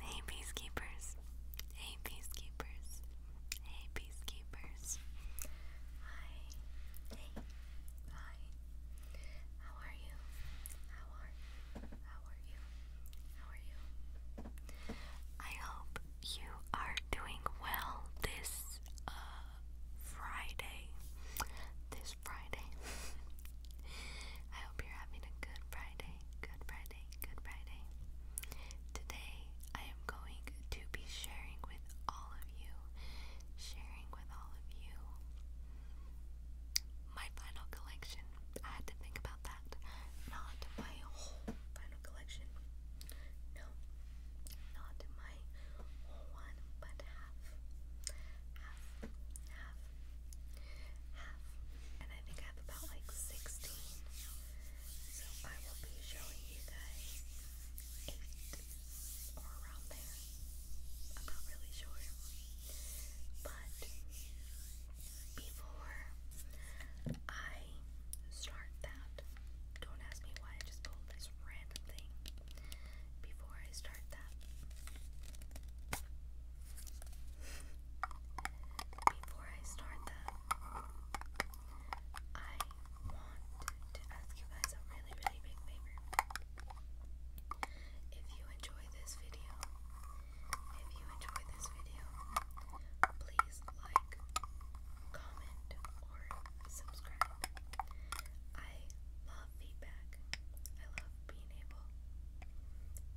Hey, peacekeepers. Hey, peacekeepers. Hey, peacekeepers. Hi. Hey. Hi. How are you? How are How are you? How are you? I hope you are doing well this uh, Friday. This Friday. I hope you're having a good Friday good Friday, good Friday. Today I am going to be sharing with all of you, sharing with all of you my final collection. I had to think about that. Not my whole final collection. No, not my whole one, but half. Half, half, half, and I think I have about like 16. So I will be showing you guys 8 or around there. I'm not really sure. But before I start that, don't ask me why I just pulled this random thing. Before I start that, before I start them, I want to ask you guys a really, really big favor. If you enjoy this video, if you enjoy this video, please like, comment, or subscribe. I love feedback. I love being able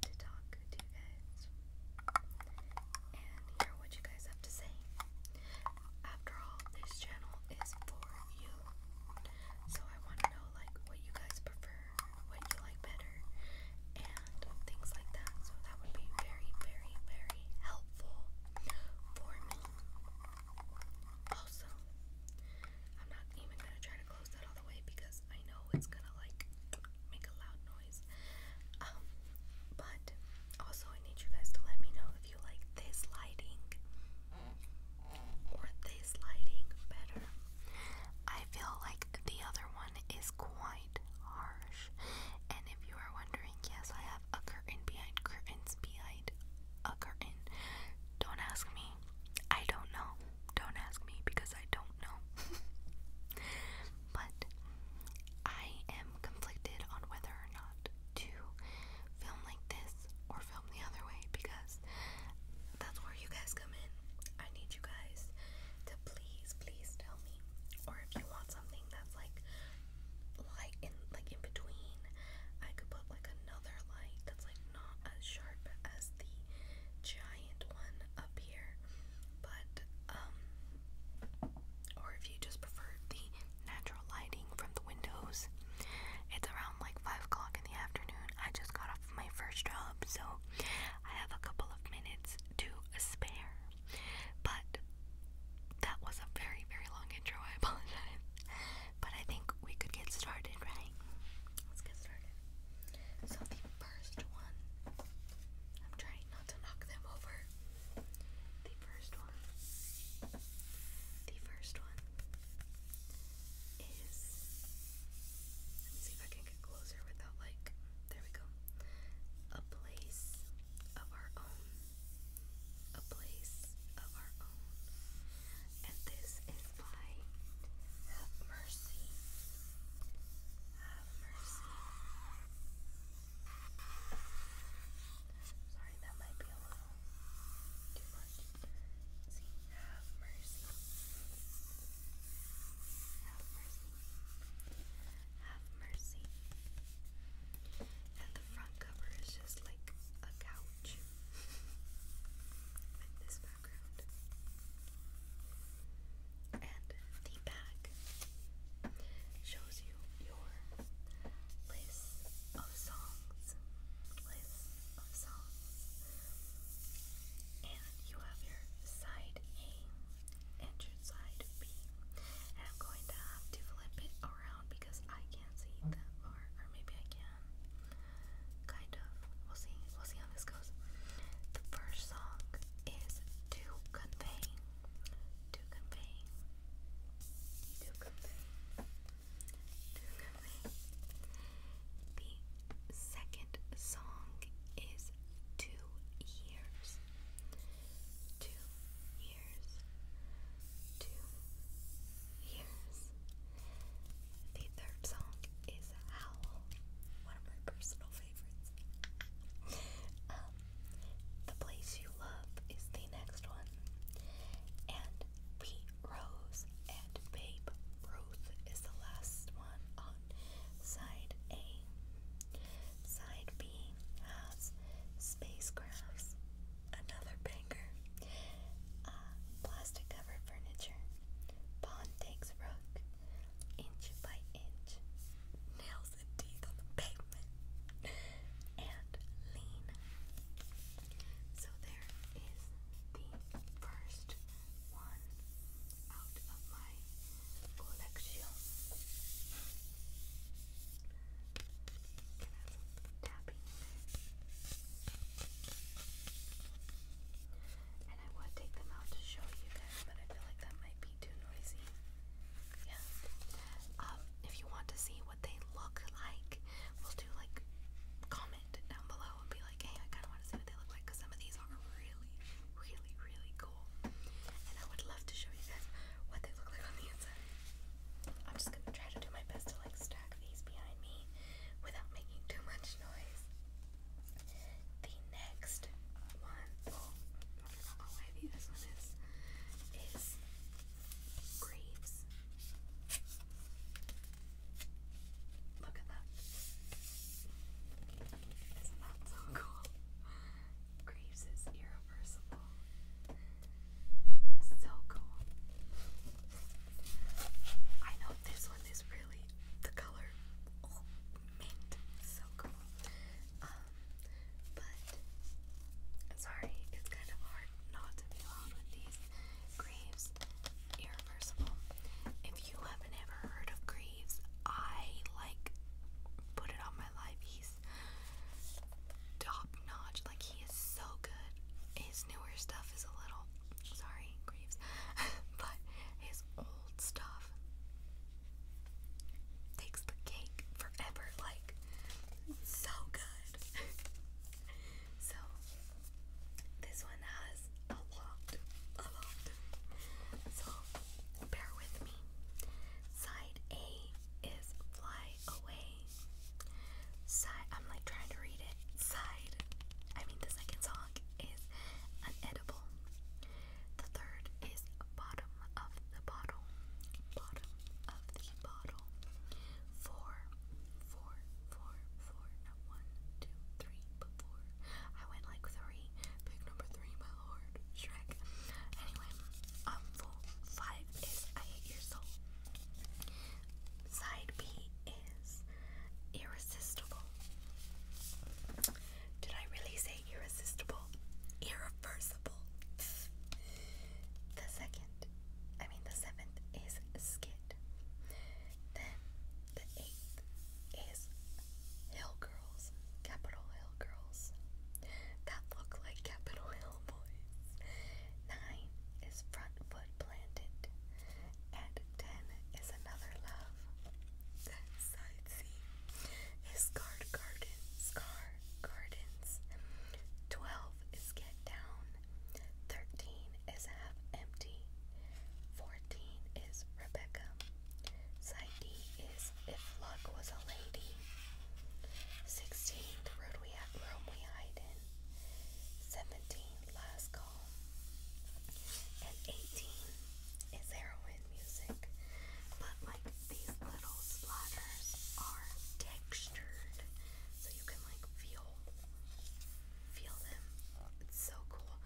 to talk to you guys and hear what you guys have to say. After all, this channel is for you. So I want to know like what you guys prefer, what you like better, and things like that. So that would be very, very, very helpful for me. Also, I'm not even gonna try to close that all the way because I know it's gonna like make a loud noise. Um, but also I need you guys to let me know if you like this lighting or this lighting better. I feel like the other one is quite harsh. And if you are wondering, yes, I have a curtain behind curtains behind a curtain. Don't ask me I don't know. Don't ask me because I don't know. but I am conflicted on whether or not to film like this or film the other way because that's where you guys come in. I need you guys to please, please tell me. Or if you want something that's like like in like in between, I could put like another light that's like not as sharp as the giant one up here, but um, or if you just prefer the natural lighting from the windows, it's around like five o'clock in the afternoon. I just got off my first job, so I have a couple of minutes to spare, but. That was a very, very long intro. I apologize. But I think we could get started, right? Let's get started. So the first one, I'm trying not to knock them over. The first one, the first one is, see if I can get closer without like, there we go, a place of our own, a place of our own. And this fight. Have mercy. Have mercy. Sorry, that might be a little too much. see, have mercy. Have mercy. Have mercy. And the front cover is just like a couch background. And the back shows you your list of songs. List of songs. And you have your side A and your side B. am going to have to flip it around because I can't see them, or, or maybe I can. Kind of. We'll see. We'll see how this goes. The first song is To Convey. To Convey. To Convey. To Convey. The second song is Two Years. Two Years. Two Years. The third song is one of my personal favorites. Um, the Place You Love is the next one. And Pete Rose and Babe Ruth is the last one on side A. Side B has Spacecrafts, another banger, uh, Plastic Cover Furniture, Pawn Takes Rook, inch by inch, nails and teeth on the pavement, and lean. So there is the first one out of my collection. Can I have tapping? and I would take them out to show you guys, but I feel like that might be too noisy. Yeah. Um, if you want to see what they look like, we'll do like comment down below and be like, hey, I kind of want to see what they look like because some of these are really, really, really cool. And I would love to show you guys what they look like on the inside. I'm just gonna try to do my best to like stack these behind me without making too much noise. The next one, oh, I don't this one is, is Graves. Look at that. Isn't so cool? Graves is irreversible. So cool. I know this one is really the color oh, mint, so cool. Um, but sorry, it's kind of hard not to be loud with these Greaves Irreversible. If you haven't ever heard of Greaves, I like put it on my life. He's top notch. Like he is so good. His newer stuff is a little sorry, Greaves, but his old stuff takes the cake forever. Like, so good. so, this one has a lot, a lot. So, bear with me. Side A is fly away. Side, I'm like trying to read it. Side, I mean the second song song is unedible. The third is bottom of the bottle. Bottom of the bottle. Four, four, four, four. Not I went like three. Pick number three, my lord. Shrek. Anyway, um, five is I hate your Side B is irresistible. Did I really say irresistible? Irreversible. The second, I mean the seventh, is Skid. Then the eighth is Hill Girls, Capitol Hill Girls. That look like Capitol Hill Boys. Nine is Front Foot Planted and 10 is another love. Side C is guard scar gardens. 12 is get down. 13 is half empty. 14 is Rebecca. Side is if luck was a lady. 16 the road we have room we hide in. 17 last call. And 18 is heroin music, but like these little splatters are textured, so you can like feel feel them. It's so cool.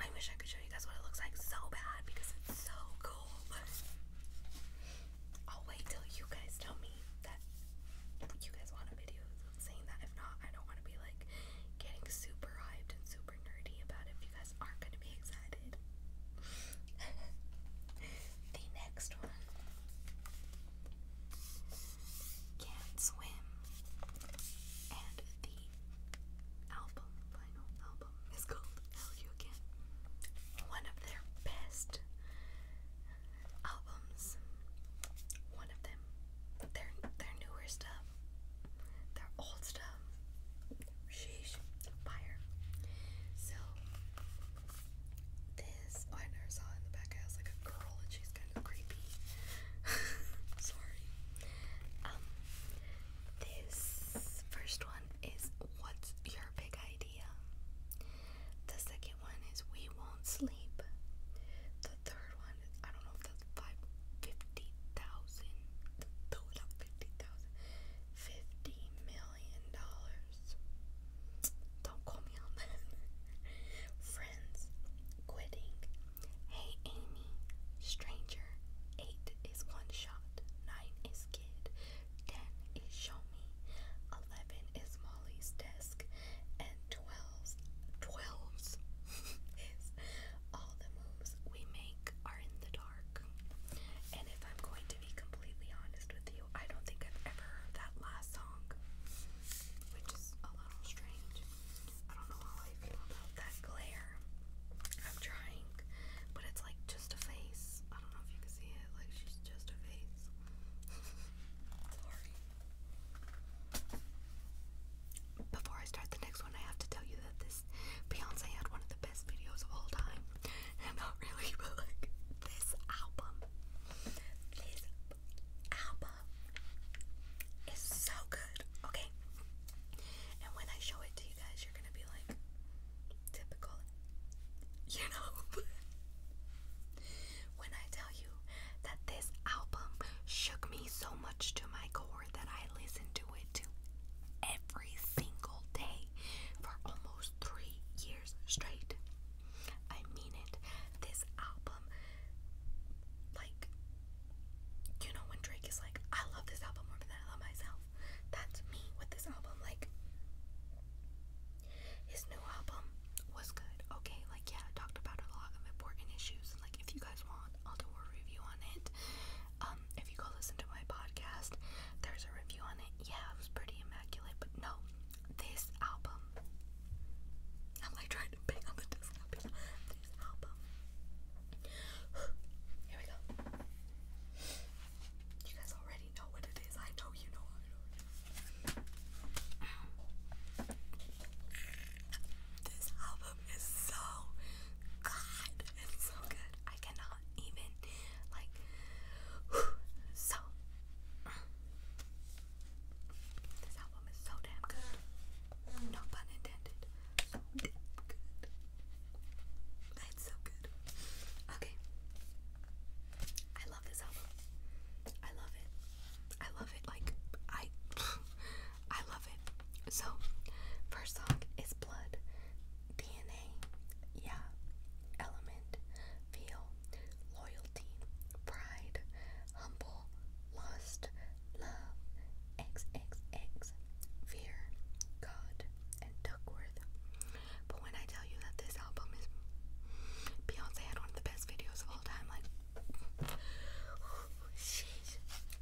I wish I could show you guys what it looks like so bad because it's so cool. I'll wait till you guys tell me that you guys want a video saying that. If not, I don't want to be like getting super hyped and super nerdy about if you guys aren't going to be excited. the next one Can't Swim. And the album, final album, is called Hell You Again. One of their best albums. One of them they're newer stuff, They're old stuff. Sheesh, fire. So this oh, I never saw in the back. I like a girl, and she's kind of creepy. Sorry. Um, this first one is what's your big idea? The second one is we won't sleep third one, I don't know if that's five, throw it up 50,000, dollars. Don't call me on that. Friends, quitting. Hey Amy, stranger. Eight is one shot. Nine is kid. Ten is show me. Eleven is Molly's desk. And twelves, twelves is all the moves we make are in the dark. And if I'm going to be completely honest with you, I don't think I've ever heard that last song, which is a little strange. I don't know how I feel about that glare. I'm trying, but it's like just a face. I don't know if you can see it. Like she's just a face. Sorry. Before I start the next one, I have to tell you that this Beyonce had one of the best videos of all time. And not really, but like this album. This album is so good. Okay. And when I show it to you guys, you're gonna be like typical. You know? when I tell you that this album shook me so much to my core that I listened to it to every single day for almost three years straight. I mean it. This album, like, you know, when Drake is like, I love this album more than I love myself. That's me with this album. Like, his new album was good. Okay, like, yeah, I talked about a lot of important issues. like, if you guys want, I'll do a review on it. Um, if you go listen to my podcast, there's a review on it. Yeah, it was pretty immaculate, but no, this album. am like trying to bang on the desk. This album. Here we go. You guys already know what it is. I know you know. I know. This album is so good. It's so good. I cannot even like so this album is so damn good. No pun intended. So damn good. It's so good. Okay. I love this album. I love it. I love it. Like I I love it. So, first song is Blood, DNA, Yeah, Element, Feel, Loyalty, Pride, Humble, Lost, Love, XXX, Fear, God, and Duckworth. But when I tell you that this album is Beyonce had one of the best videos of all time, like Oh,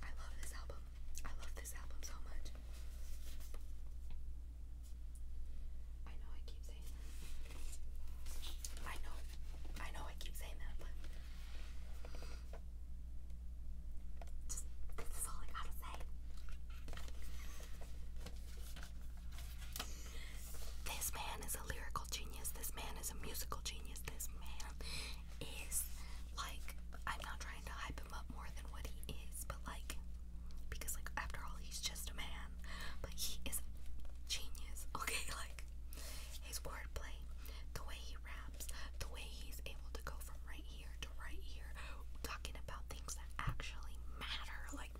I love this album. I love this album so much. I know I keep saying that. I know. I know I keep saying that, but this is all I gotta say. This man is a lyrical genius. This man is a musical genius. This man is like I'm not trying to hype him up more than what he is, but like because like after all he's just a man, but he is a genius. Okay, like his wordplay, the way he raps, the way he's able to go from right here to right here, talking about things that actually matter. Like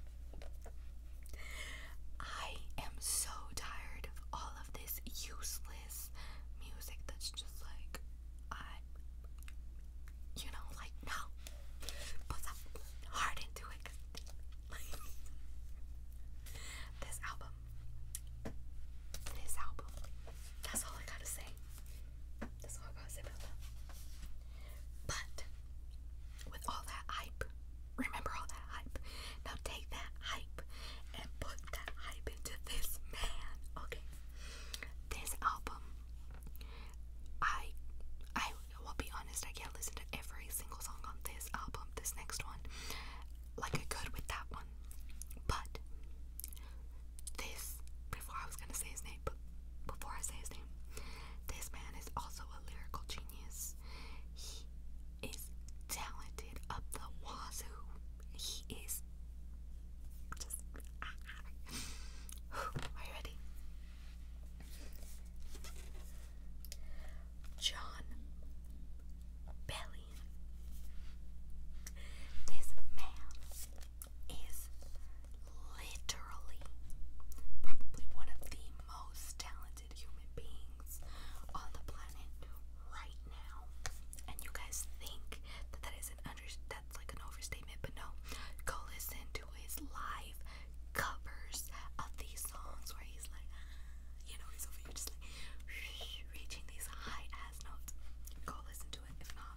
I am so tired of all of this useless mindless music that's just like I you know like no put some heart into it this album this album that's all I gotta say that's all I gotta say but with all that hype remember all that now take that hype and put that hype into this man. Okay. This album, I, I will be honest. I can't listen to every single song on this album. This next one, like I could with that one, but this. Before I was gonna say his name, but before I say his name, this man is also a lyrical genius is talented up the wazoo. He is just. Ah, ah. Are ready? John Bellion. This man is literally probably one of the most talented talented human beings on the planet right now. And you guys think that that is an under that's like an overstatement, but no. Go listen to his live covers of these songs where he's like, you know, he's just like reaching these high ass notes. Go listen to it. If not,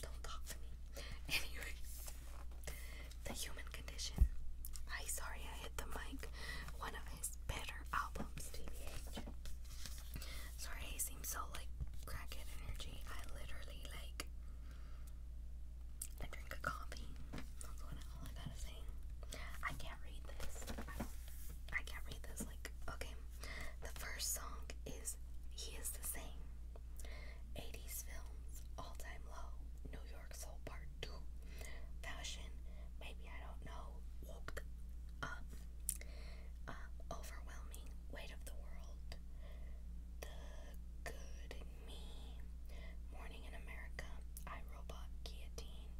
don't talk to me. Anyways, the human condition. Hi, sorry I hit the mic. One of better albums, Sorry, he seems so like crackhead energy. I literally like I drink a coffee. That's what all I gotta say. I can't read this. I can't read this. Like, okay, the first song is "He Is the Same." 80s films, all time low, New York Soul Part Two, fashion, maybe I don't know, woke up, uh, overwhelming weight of the world, the good me, morning in America, I robot guillotine,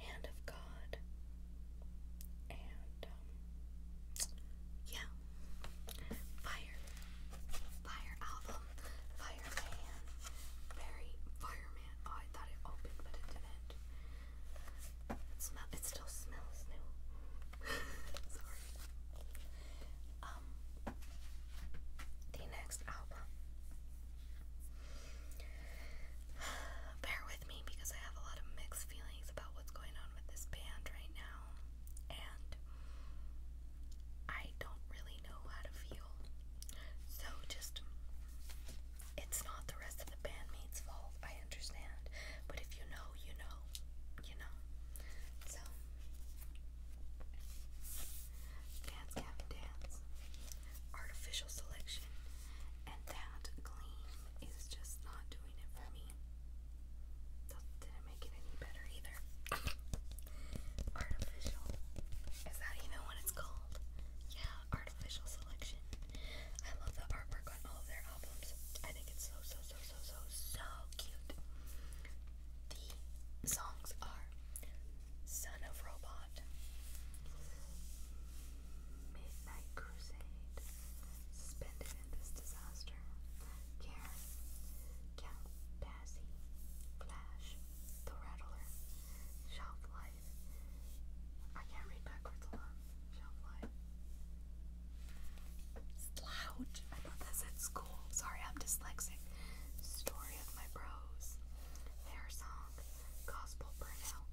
hand of God, and um, yeah, fire, fire album, fireman, very fire. I thought it opened, but it didn't. smell. It still smells new. Sorry. Um, the next album. Bear with me because I have a lot of mixed feelings about what's going on with this band right now, and I don't really know how to feel. So just it's not the rest of the bandmates' fault, I understand. But if you know, you know, you know. So Dance Cap Dance. Artificial selection. And that gleam is just not doing it for me. That didn't make it any better either. Artificial. Is that even what it's called? Yeah, artificial selection. I love the artwork on all of their albums. I think it's so, so, so, so, so, so cute. The songs are Son of Robot, Midnight Crusade, Suspended in This Disaster, Karen, Count Basie, Flash, The Rattler, Shelf Life. I can't read backwards a lot. Shelf Slouch. I got this at school. Sorry, I'm dyslexic. Story of my bros. Hair song. Gospel burnout.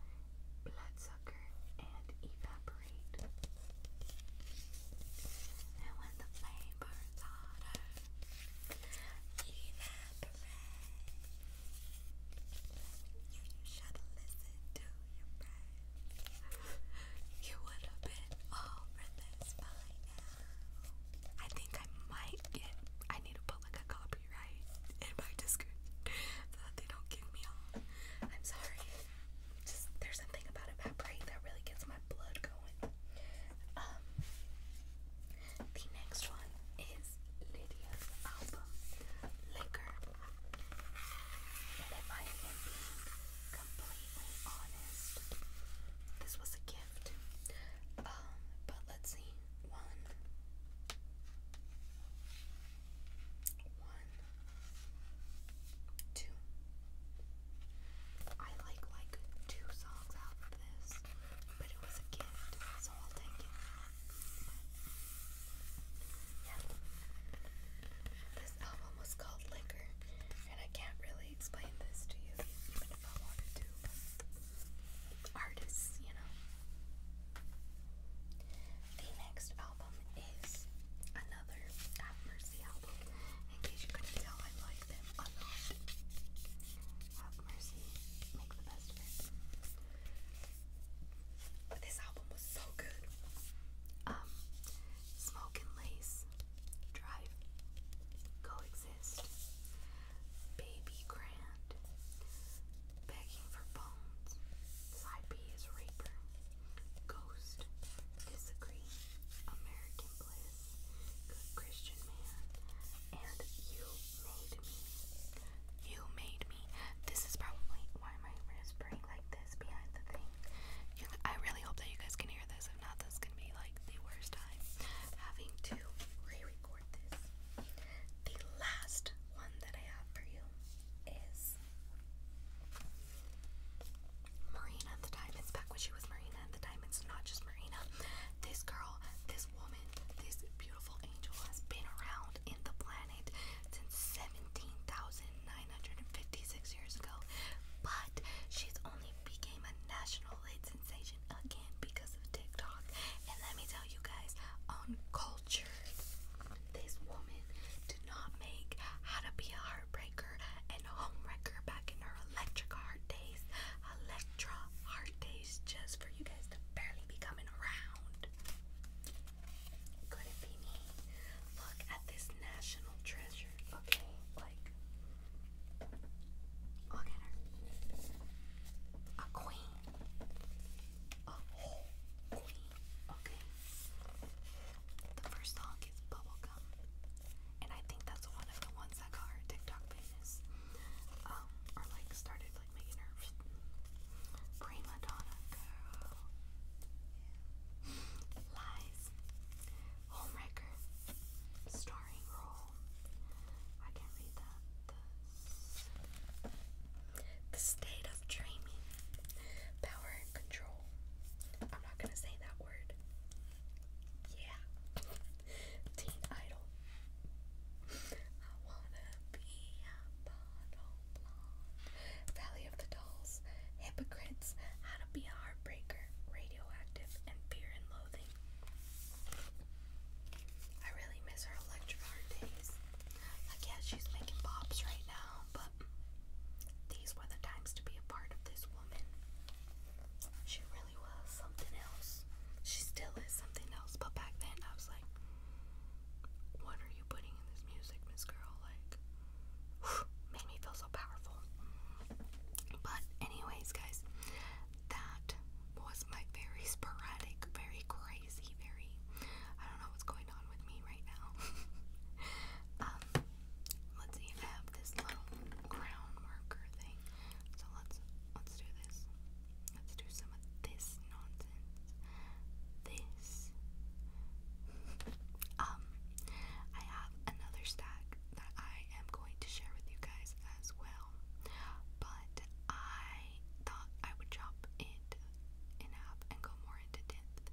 Bloodsucker and evaporate. And when the flame burns hotter, evaporate. You should listen to your brain. you would have been over this by now. I think I might get. I need to put like a copyright in my Discord so that they don't kick me off. I'm sorry. Just there's something about evaporate that really gets my blood going. Um, the next one is Lydia's album, Liquor. And if I am completely honest, this was a gift. Um, but let's see. One. I like like two songs out of this, but it was a gift, so This album was called Liquor, and I can't really explain this to you, even if I wanted to. artists, you know. The next album is another Have Mercy album. In case you couldn't tell, I like them a lot. Uh, mercy, this album was so good. Um, Lace, Drive, Coexist, Baby Grand, Begging for Bones, Side B is Raper, Ghost, Disagree, American Bliss, Christian Man, and You you made me. This is probably why my wrist whispering like this behind the thing. I really hope that you guys can hear this. If not, this is be like the worst time having to re-record this. The last one that I have for you is Marina at the Diamonds. back when she was Marina at the Diamonds, not just Marina. This girl, this woman, this beautiful angel has been around in the planet since 17,956 years ago, but she's only became a national hit sensation again because of TikTok. And let me tell you guys, uncultured, this woman did not make how to be a heartbreaker and home wrecker back in her electric heart days. Electra heart days, just for you guys to barely be coming around. Could it be me? Look at this national treasure, okay? Like, look at her. A queen. A queen, okay? The first song is Bubblegum. And I think that's one of the ones that got her TikTok famous. Um, or like started prima donna girl. Lies. Homewrecker. Starring role. I can't read that. The state of dreaming. Power and control. I'm not gonna say that word. Yeah. Teen Idol. I wanna be a bottle blonde. Valley of the Dolls. Hypocrites. How to be a heartbreaker. Radioactive and fear and loathing. I really miss her electric days. Like yeah, she's making pops right now, but these were the times to be a part of this woman. She really was something else. She still is something else, but back then I was like, what are you putting in this music, Miss Girl? Like, made me feel so powerful. But, anyways, guys, that was my very sporadic, very crazy, very. I don't know what's going on with me right now. um, let's see. have this little crown marker thing, so let's let's do this. Let's do some of this nonsense. This. um, I have another stack that I am going to share with you guys as well. But I thought I would jump it in half and go more into depth.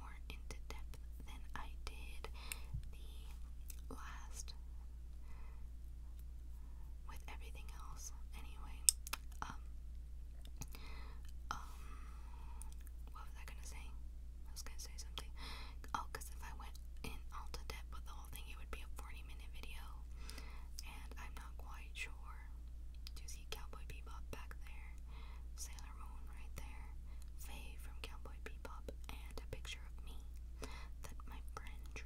More into depth than I did the last with everything else. Anyway, um, um, what was I gonna say? I was gonna say something. Oh, because if I went in all to depth with the whole thing, it would be a 40 minute video, and I'm not quite sure. Do you see Cowboy Bebop back there? Sailor Moon right there. Faye from Cowboy Bebop, and a picture of me that my friend drew.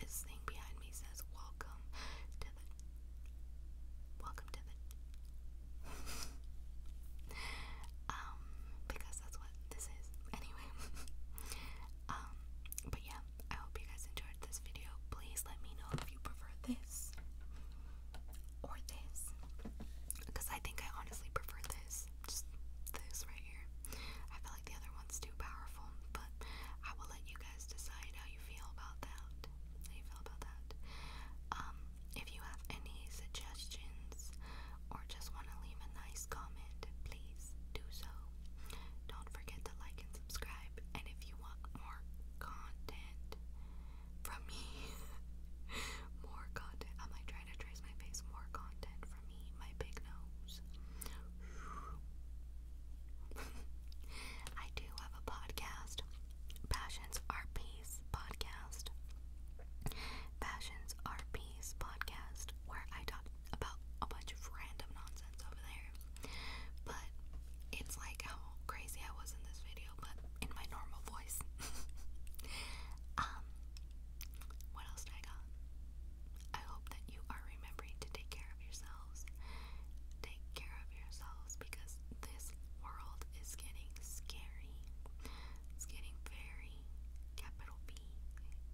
This thing behind me says, Welcome to the. Welcome to the. um, because that's what this is. Anyway. um, but yeah, I hope you guys enjoyed this video. Please let me know if you prefer this or this. Because I think I honestly prefer this. Just this right here. I feel the other one's too powerful, but I will let you guys decide how you feel about that. How you feel about that? Um, if you have any suggestions or just want to leave a nice comment, please do so. Don't forget to like and subscribe. And if you want more content from me, more content. I might try to trace my face. More content from my big nose. I do have a podcast, Passions Are Peace podcast. Passions Are Peace podcast, where I talk about a bunch of random nonsense over there. But it's like how crazy I was in this video, but in my normal voice. um, what else did I got? I hope that you are remembering to take care of yourselves. Take care of yourselves because this world is getting scary. It's getting very, capital B,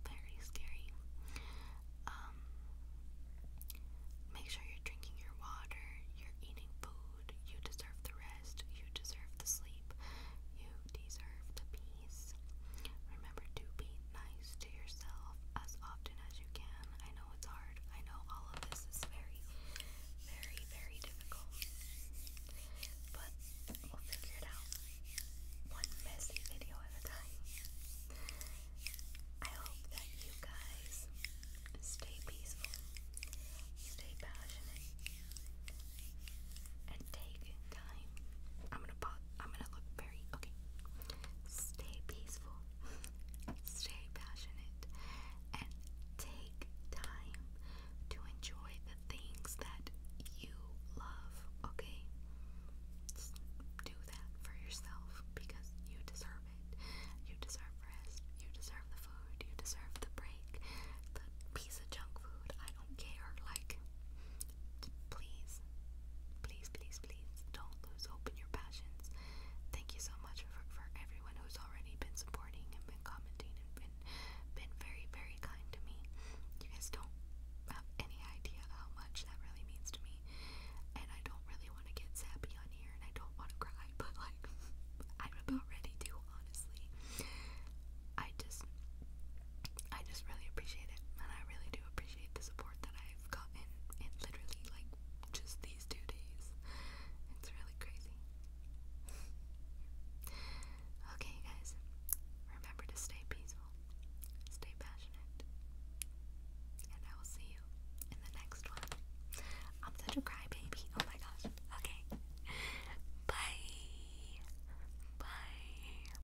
very scary. Um, make sure you're drinking your water, you're eating food, you deserve the rest, you deserve the sleep, you deserve to be. Remember to be nice to yourself as often as you can. I know it's hard. I know all of this is very, very, very difficult. But we'll figure it out one messy video at a time. I hope that you guys stay peaceful, stay passionate, and take time. I'm gonna pause. I'm gonna look very okay. Stay peaceful, stay passionate, and take time to enjoy the things that you love, okay? do that for yourself because you deserve it. You deserve rest, you deserve the food, you deserve the break, the piece of junk food. I care. Like, please, please, please, please don't lose hope your passions. Thank you so much for, for everyone who's already been supporting and been commenting and been been very, very kind to me. You guys don't have any idea how much that really means to me. And I don't really want to get sappy on here and I don't want to cry, but like I'm about ready to, honestly. I just I just really appreciate it and I really do appreciate the support that I've gotten in literally like just these two days. It's really crazy. okay, guys, remember to stay peaceful, stay passionate, and I will see you in the next one. I'm such a crybaby. Oh my gosh. Okay. Bye. Bye.